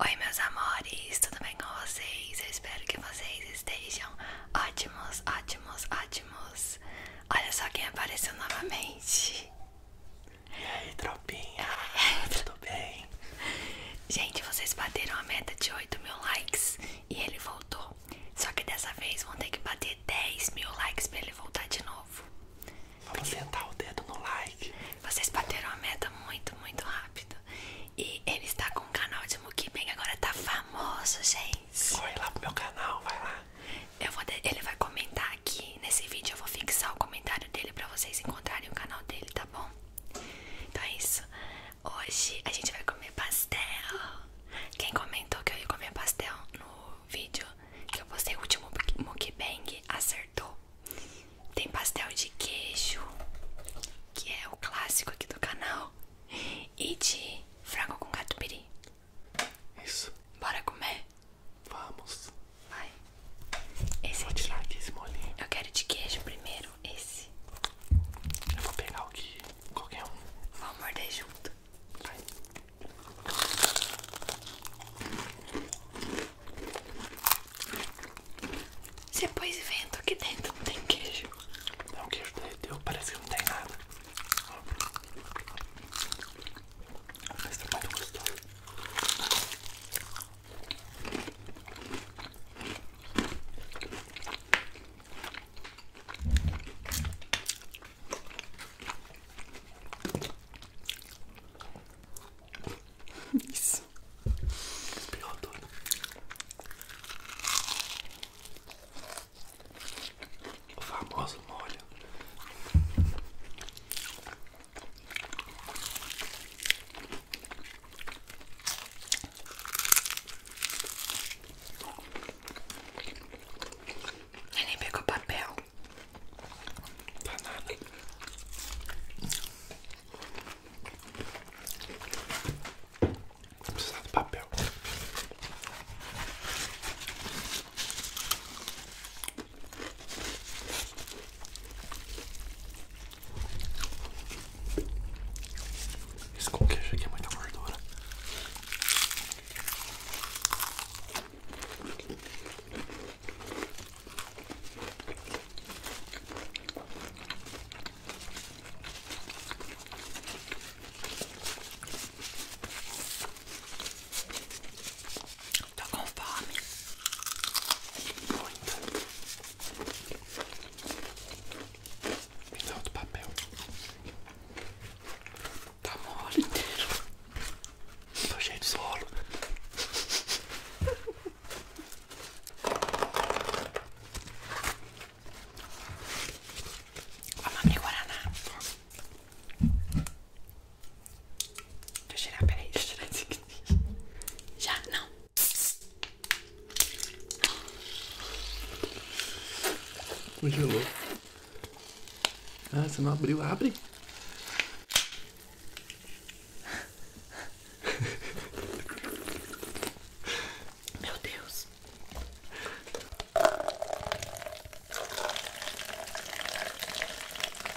Oi meus amores, tudo bem com vocês? Eu espero que vocês estejam ótimos, ótimos, ótimos Olha só quem apareceu novamente E aí tropinha, tudo bem? Gente, vocês bateram a meta de 8 mil likes e ele voltou Só que dessa vez vão ter que bater 10 mil likes pra ele voltar de novo Vamos sentar o dedo no like vocês bateram a meta muito, muito rápido. E ele está com um canal de mukbang, agora tá famoso, gente. Corre lá pro meu canal, vai lá. Eu vou Ele vai comentar aqui nesse vídeo, eu vou fixar o comentário dele pra vocês encontrarem o canal dele, tá bom? Então é isso. Hoje a gente vai comer pastel. Quem comentou que eu ia comer pastel no vídeo que eu postei o último mukbang acertou. Tem pastel de queijo, que é o clássico aqui do canal, e de frango com catupiry. Isso. Bora comer? Vamos. Vai. Esse vou aqui. tirar aqui esse molinho. Eu quero de queijo primeiro, esse. Eu vou pegar o que qualquer um. Vamos morder junto. Vai. Você pôs vento aqui dentro, não tem queijo. Não, queijo derreteu, parece que não tem nada. Mas tá muito gostoso. Isso. Espirrou tudo. O famoso molho. Ele nem pegou papel tá nada, precisa de papel. Esse com queijo aqui é muita gordura tá com fome. Muito. Me outro papel. Tá mole inteiro. Tô cheio solo. Vamos abrir Guaraná. Deixa eu tirar, peraí, deixa eu tirar esse aqui. Já? Não. Congelou. Ah, você não abriu? Abre. Meu Deus.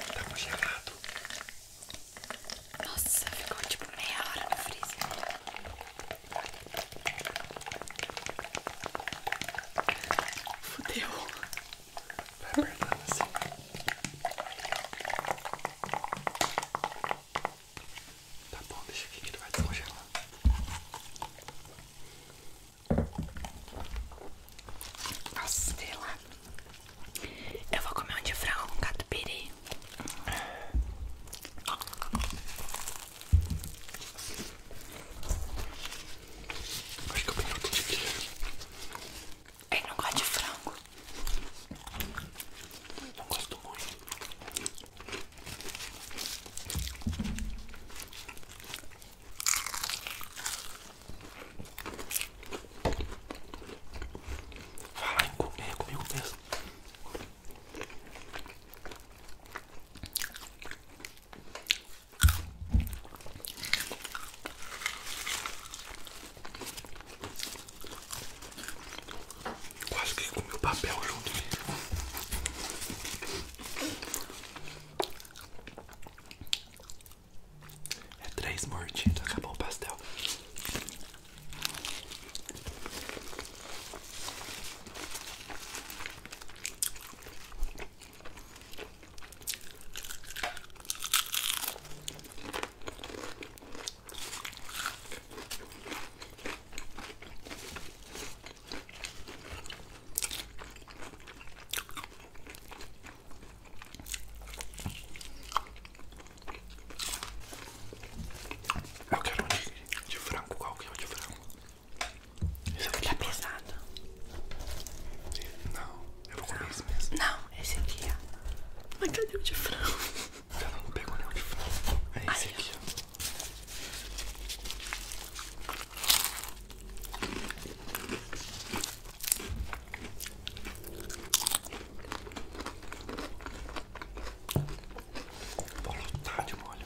Tá congelado. Nossa, ficou tipo meia hora no freezer. Fudeu. Vai apertando assim. Tá bom, deixa aqui que tu vai descongelar. Nossa, vê lá. Eu vou comer um de frango com catupiry. Acho que eu peguei outro tipo de quê? Ele é, não gosta de frango. Não gosto muito. Vai em comer é comigo mesmo. Quase que comi o papel junto. É três mortinhos, acabou o pastel. Eu quero um de, frango, qual é de frango? Isso aqui tá é pesado. Não, eu vou comer esse mesmo. Não, esse aqui, ó. Mas cadê o de frango? Eu não pegou nenhum de frango. É esse Ai, aqui, ó. Tá de molho.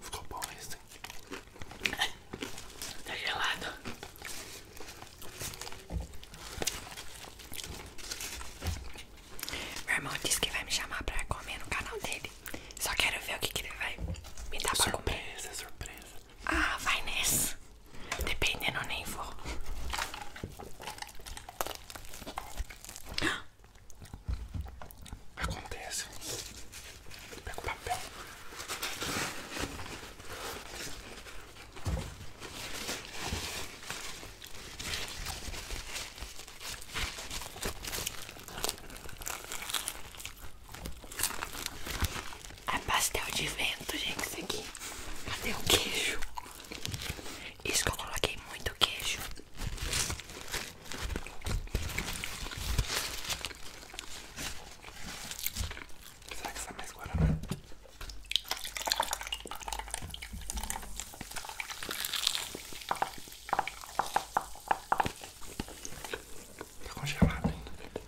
Ficou bom esse. Tá gelado. Meu irmão disse que vai me chamar pra comer no canal dele. Só quero ver o que, que ele vai me dar surpresa, pra comer. Surpresa, surpresa. Ah, vai nessa. Dependendo, nem vou. Acontece. Pega o papel. a é pastel de vento, gente, isso aqui. Cadê o queijo? Isso que eu coloquei muito queijo. Será que está mais guaraná? Né? Tá congelado ainda.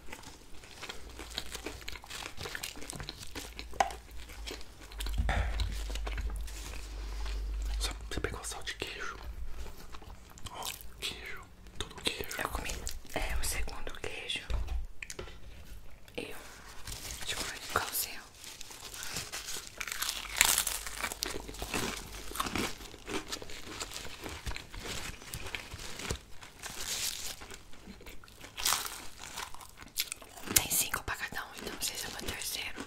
Só você pegou sal de queijo queijo. Ó, queijo. Tudo queijo. Eu comi é, o segundo queijo e um chocolate de Tem cinco pagadão então não sei se é eu vou terceiro.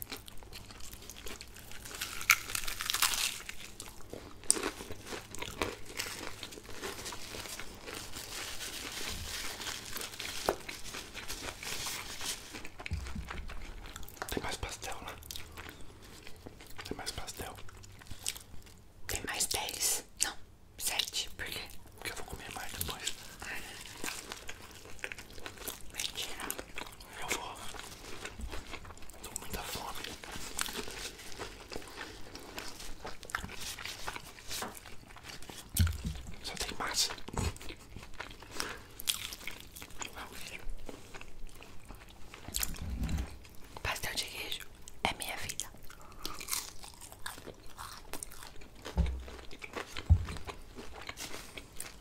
Tem mais pastel lá. Né? Tem mais pastel. Tem mais dez Não, sete Por quê? Porque eu vou comer mais depois. Ah, tá. Mentira. Eu vou. Tô com muita fome. Só tem massa. Pastel de queijo é minha vida.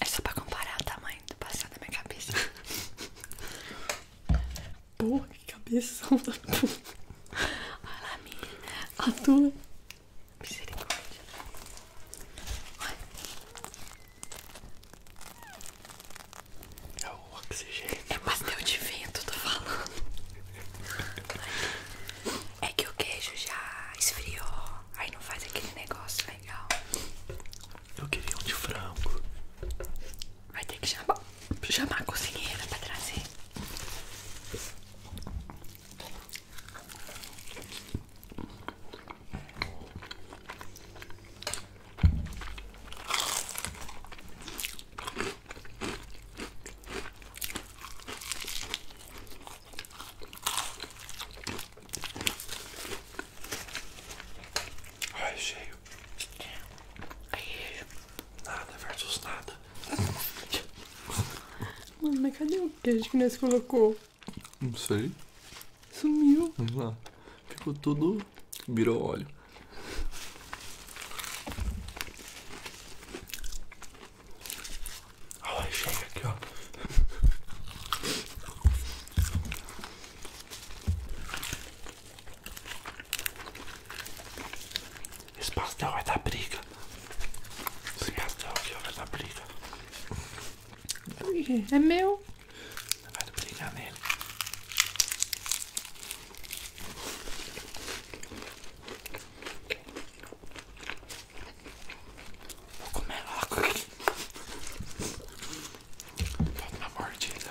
É só pra comparar o tamanho do passado da minha cabeça. Porra, que cabeção da puta. Olha a minha. A tua. Misericórdia. Olha. É o oxigênio. É pastel de vento, tô falando. É que o queijo já esfriou. Aí não faz aquele negócio, né? legal. Eu queria um de frango. Vai ter que chamar, chamar a cozinheira pra trazer. Ai, cheio. Ai, nada versus nada. Mano, mas cadê o que queijo que nós colocou? Não sei. Sumiu. Vamos lá. Ficou tudo. Virou óleo. A hora chega aqui, Esse pastel vai dar briga. Esse pastel aqui vai dar briga. É meu. Vai dar briga nele. Vou comer logo aqui. Dá uma mordida.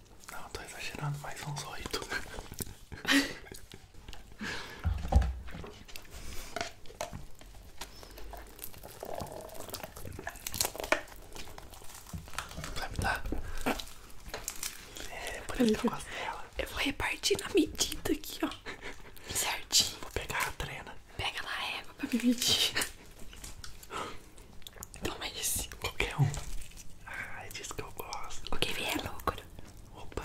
Não, tô exagerando, mas são só oito. Vai me dar? É, por isso que eu Eu vou repartir na medida aqui, ó. Certinho. Vou pegar a trena. Pega na régua pra me medir. Toma esse. Qualquer um. Ah, é disso que eu gosto. O que vier é loucura. Opa.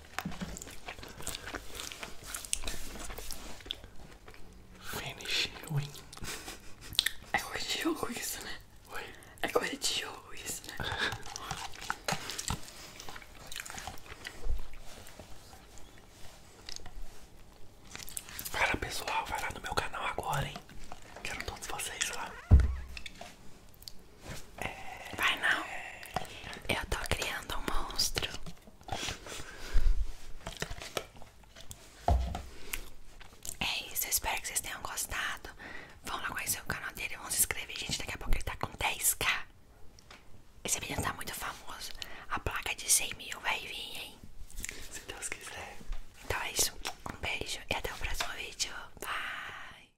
Finish win. É coisa de jogo isso, né? Oi? É coisa de jogo isso, né? Cara pessoal, vai lá no meu canal agora, hein? Quero todos vocês lá. Vai não. Eu tô criando um monstro. É isso, eu espero que vocês tenham gostado. Vão lá conhecer o canal dele, vão se inscrever, gente. Daqui a pouco ele tá com 10k. Esse menino tá muito famoso. A placa de 100 mil vai vir, hein? Se Deus quiser. Então é isso. Um beijo e até o próximo vídeo. Bye!